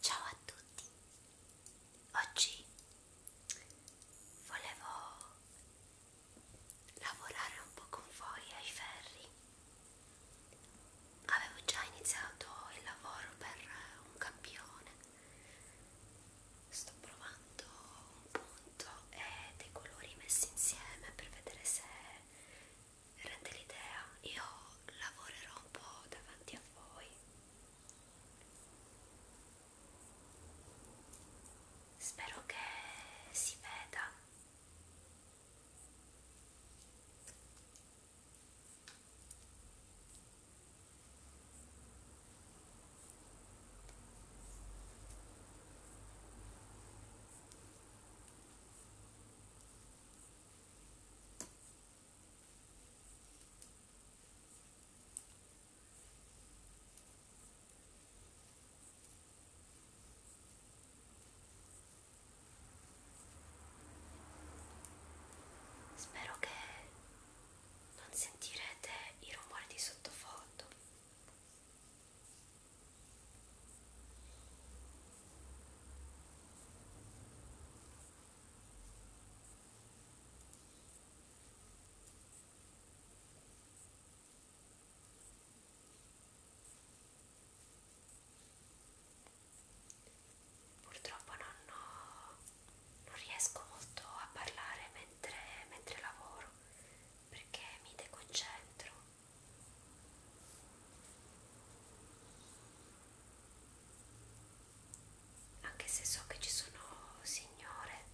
Ciao a tutti, oggi volevo lavorare un po' con voi ai ferri. Avevo già iniziato il lavoro per un campione sto provando un punto e dei colori messi insieme per vedere se rende l'idea io lavorerò un po' davanti a voi spero che si veda Spero che non sentirete i rumori di sottofondo purtroppo non, ho, non riesco molto a parlare mentre, mentre lavoro perché mi deconcentro anche se so che ci sono signore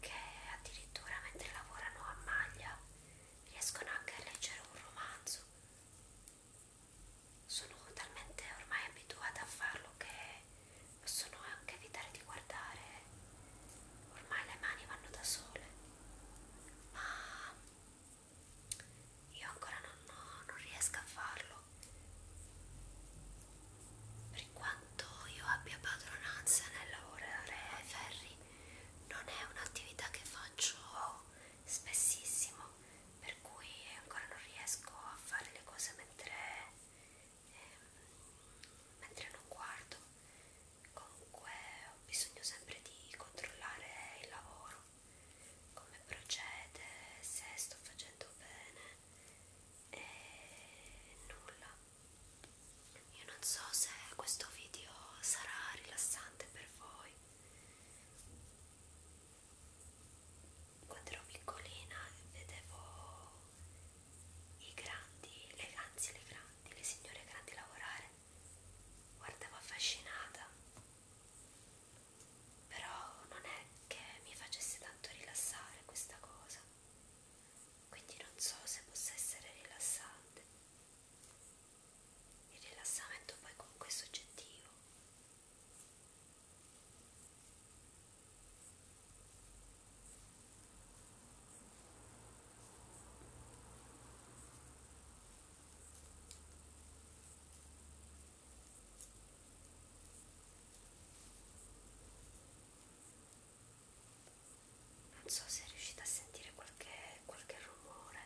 che addirittura mentre lavorano a maglia riescono anche a leggere un romanzo sono talmente ormai abituata a farlo che possono anche evitare di guardare ormai le mani vanno da sole ma io ancora non, no, non riesco a farlo per quanto io abbia padronanza nel lavorare ai ferri non è un'attività che faccio spessissimo per cui ancora non riesco a fare le cose mentre, ehm, mentre non guardo. Comunque ho bisogno sempre di controllare il lavoro, come procede, se sto facendo bene e nulla. Io non so se questo video sarà rilassante per voi quando ero piccolina vedevo i grandi, le, anzi le grandi, le signore grandi lavorare, guardavo affascinata, però non è che mi facesse tanto rilassare questa cosa, quindi non so se possa essere rilassante. Il rilassamento poi comunque è soggettivo non so se riuscite a sentire qualche, qualche rumore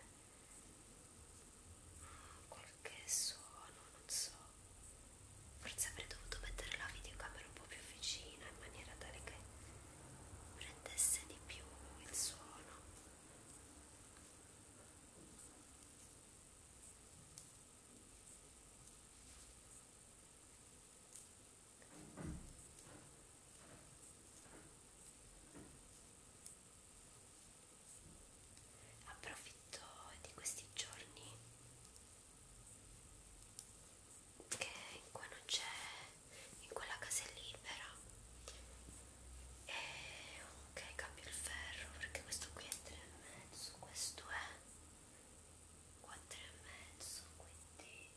qualche suono, non so, forse avrei dovuto mettere la videocamera un po' più vicina in maniera tale che prendesse di più il suono approfitto di questi giorni che qua non c'è in quella casa è libera e ok cambio il ferro perché questo qui è 3 e mezzo questo è 4 e mezzo quindi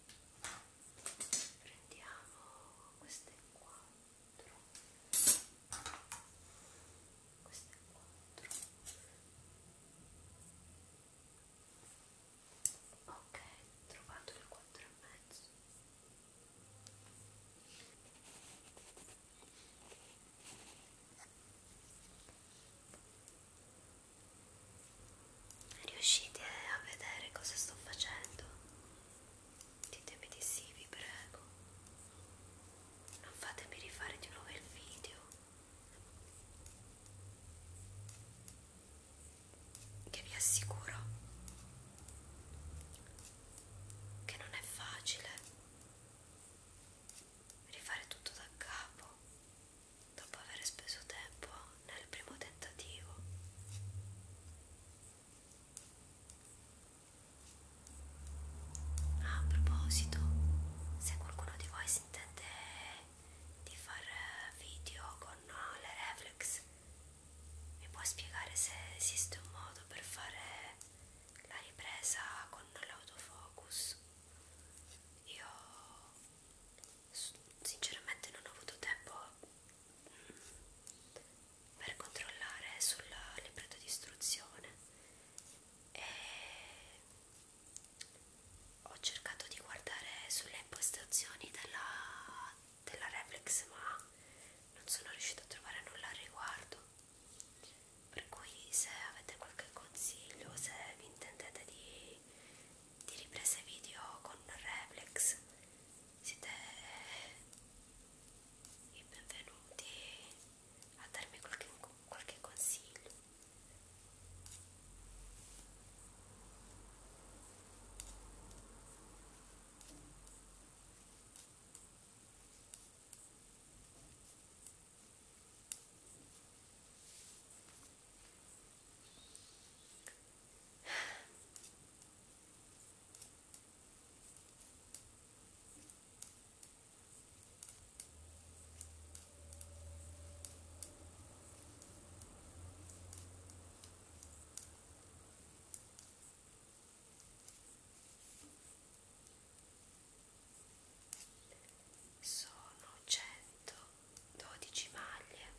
prendiamo queste qua 4 questo è 4 ok trovato il 4 e mezzo Riuscite a vedere cosa sto facendo? ditemi di sì vi prego non fatemi rifare di nuovo il video che vi assicuro che non è facile rifare tutto da capo dopo aver speso tempo nel primo tentativo Ah, a proposito, se qualcuno di voi si intende di fare eh, video con eh, le reflex, mi può spiegare se esiste un modo per fare la ripresa con l'autofocus? Io sinceramente non ho avuto tempo per controllare sul libretto di istruzione e ho cercato di guardare sulle impostazioni della, della reflex ma non sono riuscita a trovare nulla al riguardo per cui se avete qualche consiglio se vi intendete di, di riprese video con reflex siete e benvenuti a darmi qualche, qualche consiglio sono 112 maglie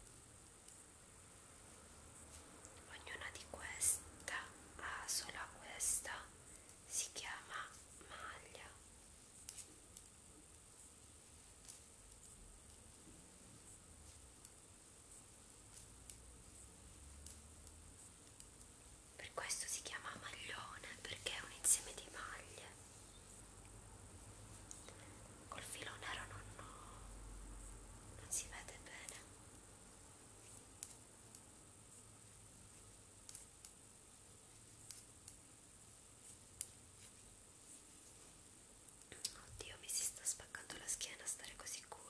Ognuna di questa ha sola questa si chiama maglia. Per questo si chiama maglione perché è un insieme di maglie. Col filo nero non, non si vede bene. Oddio, mi si sta spaccando la schiena stare così curva.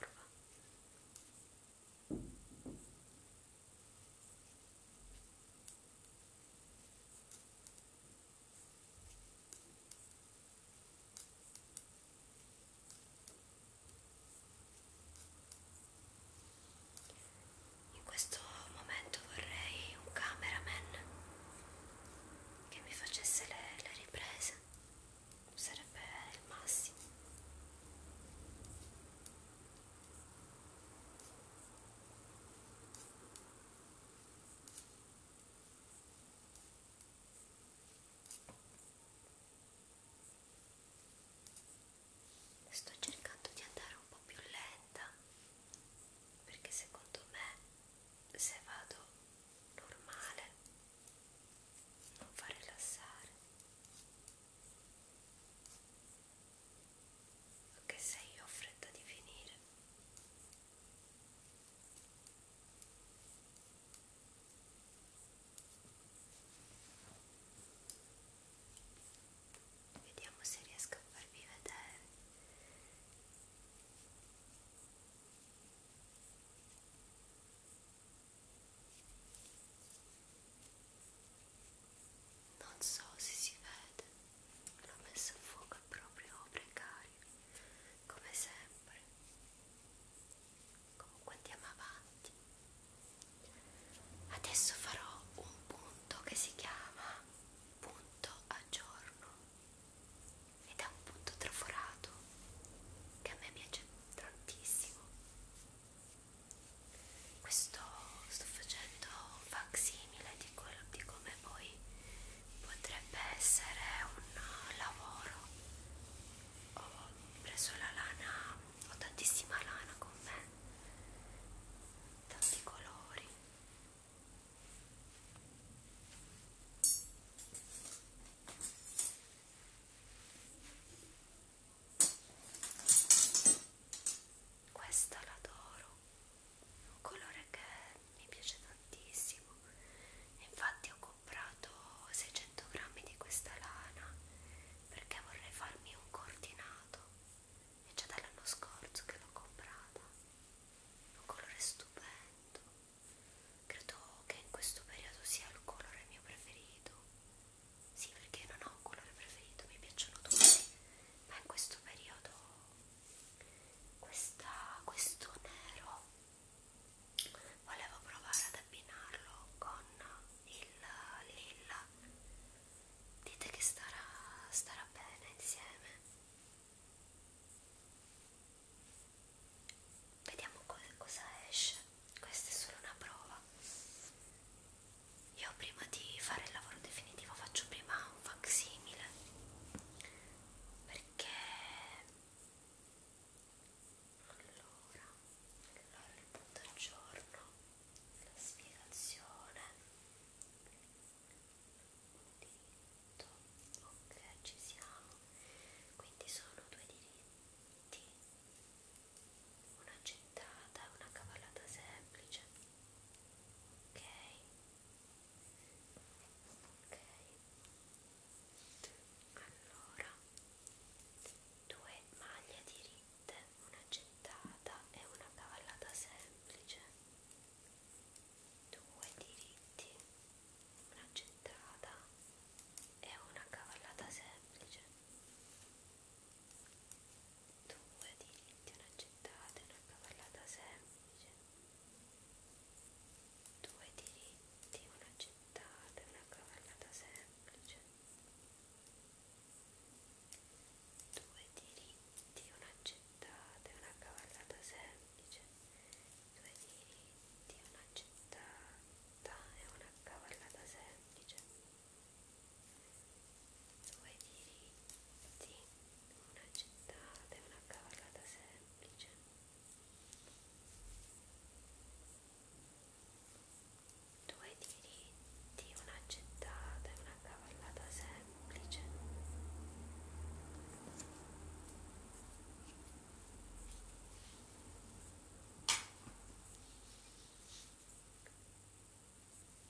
In questo momento vorrei un cameraman che mi facesse le, le riprese, sarebbe il massimo sto cercando di andare un po' più lenta perché secondo me se vado normale non fa rilassare anche se io ho fretta di finire Vediamo se riesco a farvi vedere. Non so se si vede, l'ho messo a fuoco proprio precario, come sempre comunque andiamo avanti adesso farò un punto che si chiama punto a giorno ed è un punto traforato che a me piace tantissimo questo sto facendo un facsimile di, quello, di come poi potrebbe essere un lavoro ho preso la lana, ho tantissima lana con me, tanti colori. Questa l'adoro, un colore che mi piace tantissimo, infatti ho comprato 600 grammi di questa lana perché vorrei farmi un coordinato e già dall'anno scorso che l'ho comprata un colore stupendo credo che in questo periodo sia il colore mio preferito sì perché non ho un colore preferito mi piacciono tutti ma in questo periodo questa, questo nero volevo provare ad abbinarlo con il lilla dite che starà, starà bene insieme vediamo cosa esce questa è solo una prova io prima di fare il lavoro definitivo faccio prima un facsimile perché allora, allora il punto al giorno la spiegazione un diritto ok ci siamo quindi sono due diritti una gettata una cavallata semplice ok ok allora due maglie diritte una gettata e una cavallata semplice due diritti una gettata e una cavallata semplice due diritti una gettata e una cavallata semplice 2 diritti, una gettata, una cavallata semplice, 2 diritti, una gettata, una cavallata semplice, 2 diritti, una gettata, una cavallata semplice, 2 diritti, una gettata, una cavallata semplice, 2 diritti, una gettata, una cavallata semplice, 2 diritti, una gettata, una cavallata semplice, 2 diritti, una gettata, una cavallata semplice, 2 diritti, una gettata, una cavallata semplice, 2 diritti, una gettata, una cavallata semplice, 2 diritti, una gettata, una cavallata semplice, 2 diritti, una gettata, una cavallata semplice, 2 diritti, una gettata, una cavallata semplice, 2 diritti, una gettata, una cavallata semplice, 2 diritti, una gettata, una cavallata semplice, 2 diritti, una gettata, una cavallata semplice, 2 diritti, una gettata, una cavallata semplice, 2 diritti, una gettata, una cavallata semplice, 2 diritti, una ge due diritti, una gettata e una cavallata semplice due diritti, una gettata e una cavallata semplice due diritti, una gettata e una cavallata semplice due diritti, una gettata e una cavallata semplice due diritti, una gettata e una cavallata semplice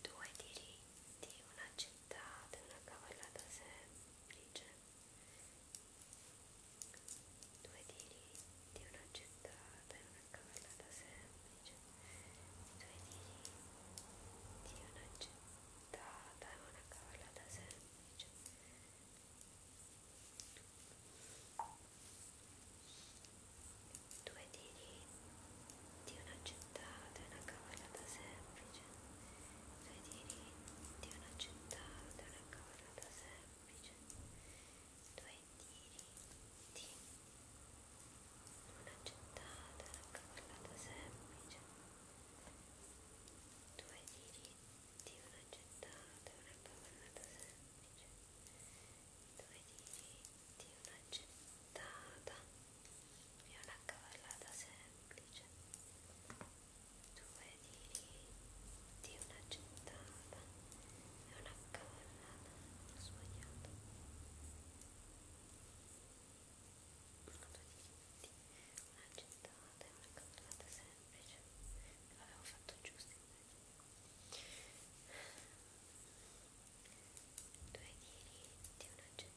due diritti, una gettata e una cavallata semplice due tiri di una gettata e una cavallata semplice due tiri di una gettata e una cavallata semplice due tiri di una gettata e una cavallata semplice sui diritti, di una città, di una cosa da semplice, due diritti, una città, di una cavallata semplice, due diritti, una città, di una cavallata semplice, due diritti, una gettata e una cavallata semplice due di, di una gettata e una cavallata, ho sbagliato uno, due di, una gettata e una cavallata semplice l'avevo fatto giusto invece due tiri di una gettata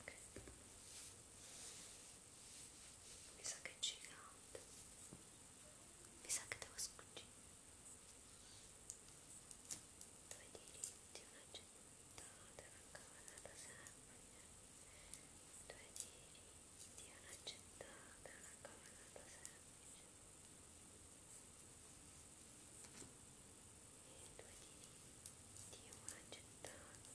Okay. Mi sa che è gigante. Mi sa che devo sfuggire. Due diritti, una gettata, una cavalata semplice. Due diritti, una gettata, una cavalata semplice. E due diritti, una gettata.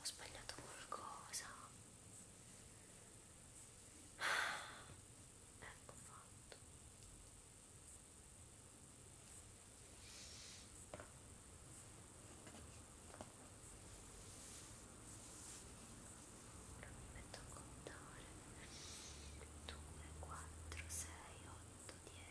Ho sbagliato qualcosa. Ah, ecco fatto. Ora mi metto a contare 2, 4, 6, 8, 10.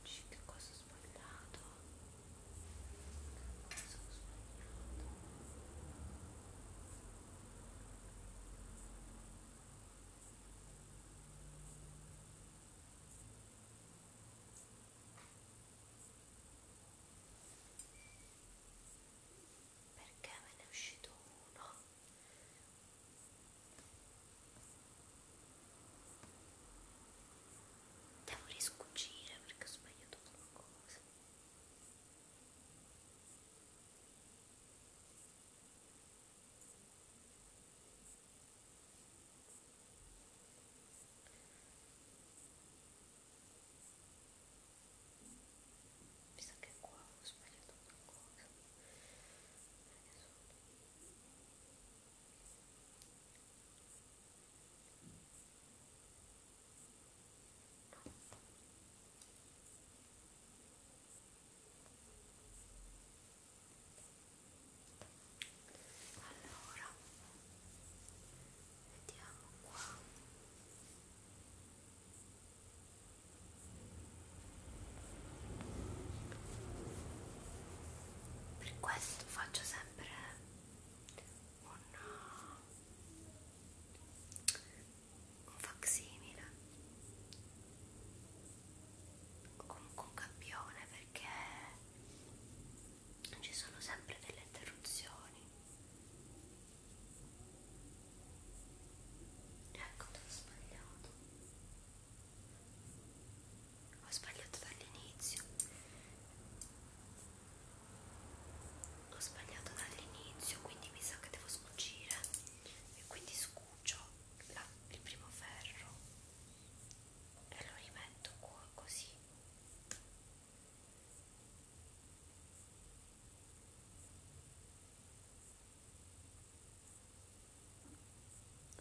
dici che cosa ho sbagliato che cosa ho sbagliato perché me ne è uscito uno Devo riscucire perché ho sbagliato qualcosa. Mi sa che qua ho sbagliato qualcosa. Adesso allora, vediamo qua per questo faccio sempre un, un facsimile comunque un campione perché ci sono sempre delle interruzioni ecco te l'ho sbagliato ho sbagliato dall'inizio. Ho sbagliato dall'inizio, quindi mi sa che devo scucire. E quindi scucio la, il primo ferro e lo rimetto qua così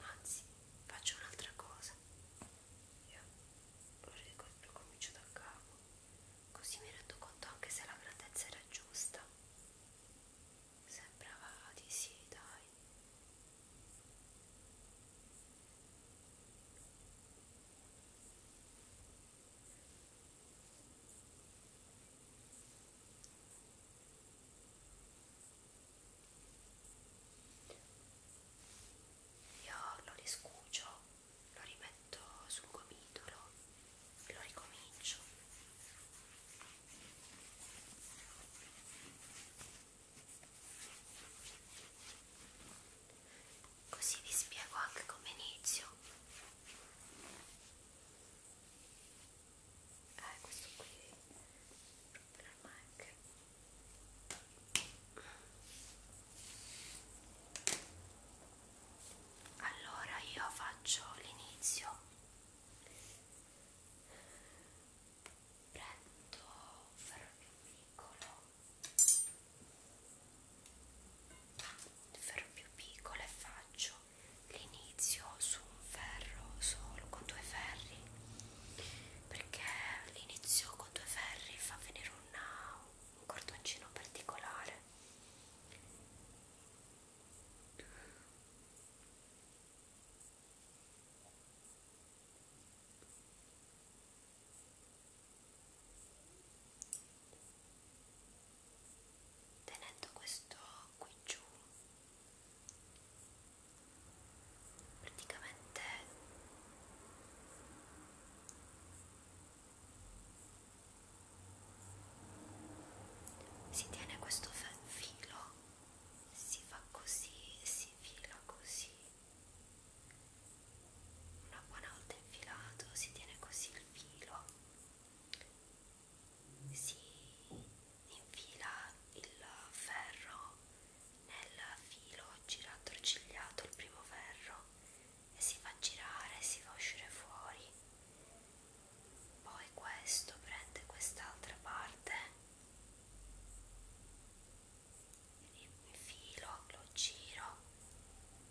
anzi faccio un'altra cosa io lo ricomincio comincio da capo così mi rendo conto anche se la grandezza era giusta sembrava di sì dai io lo riscucio, lo rimetto sul gomitolo e lo ricomincio. Così vi spiego anche come inizio eh questo qui proprio normal anche allora io faccio l'inizio prendo un ferro più piccolo un ah, ferro più piccolo e faccio l'inizio su un ferro solo con due ferri perché l'inizio con due ferri fa venire una, un cordoncino particolare tenendo questo qui giù praticamente si tiene questo filo si fa così si fila così una buona volta infilato si tiene così il filo si infila il ferro nel filo girato cigliato il primo ferro e si fa girare e si fa uscire fuori poi questo prende quest'altra parte il filo lo giro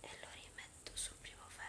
e lo rimetto sul primo ferro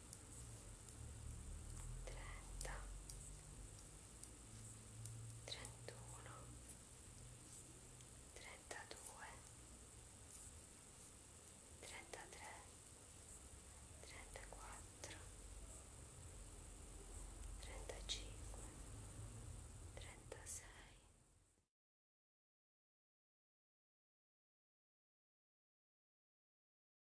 trenta, trentuno, trentadue, trentatré, trentaquattro, trentacinque, trentasei.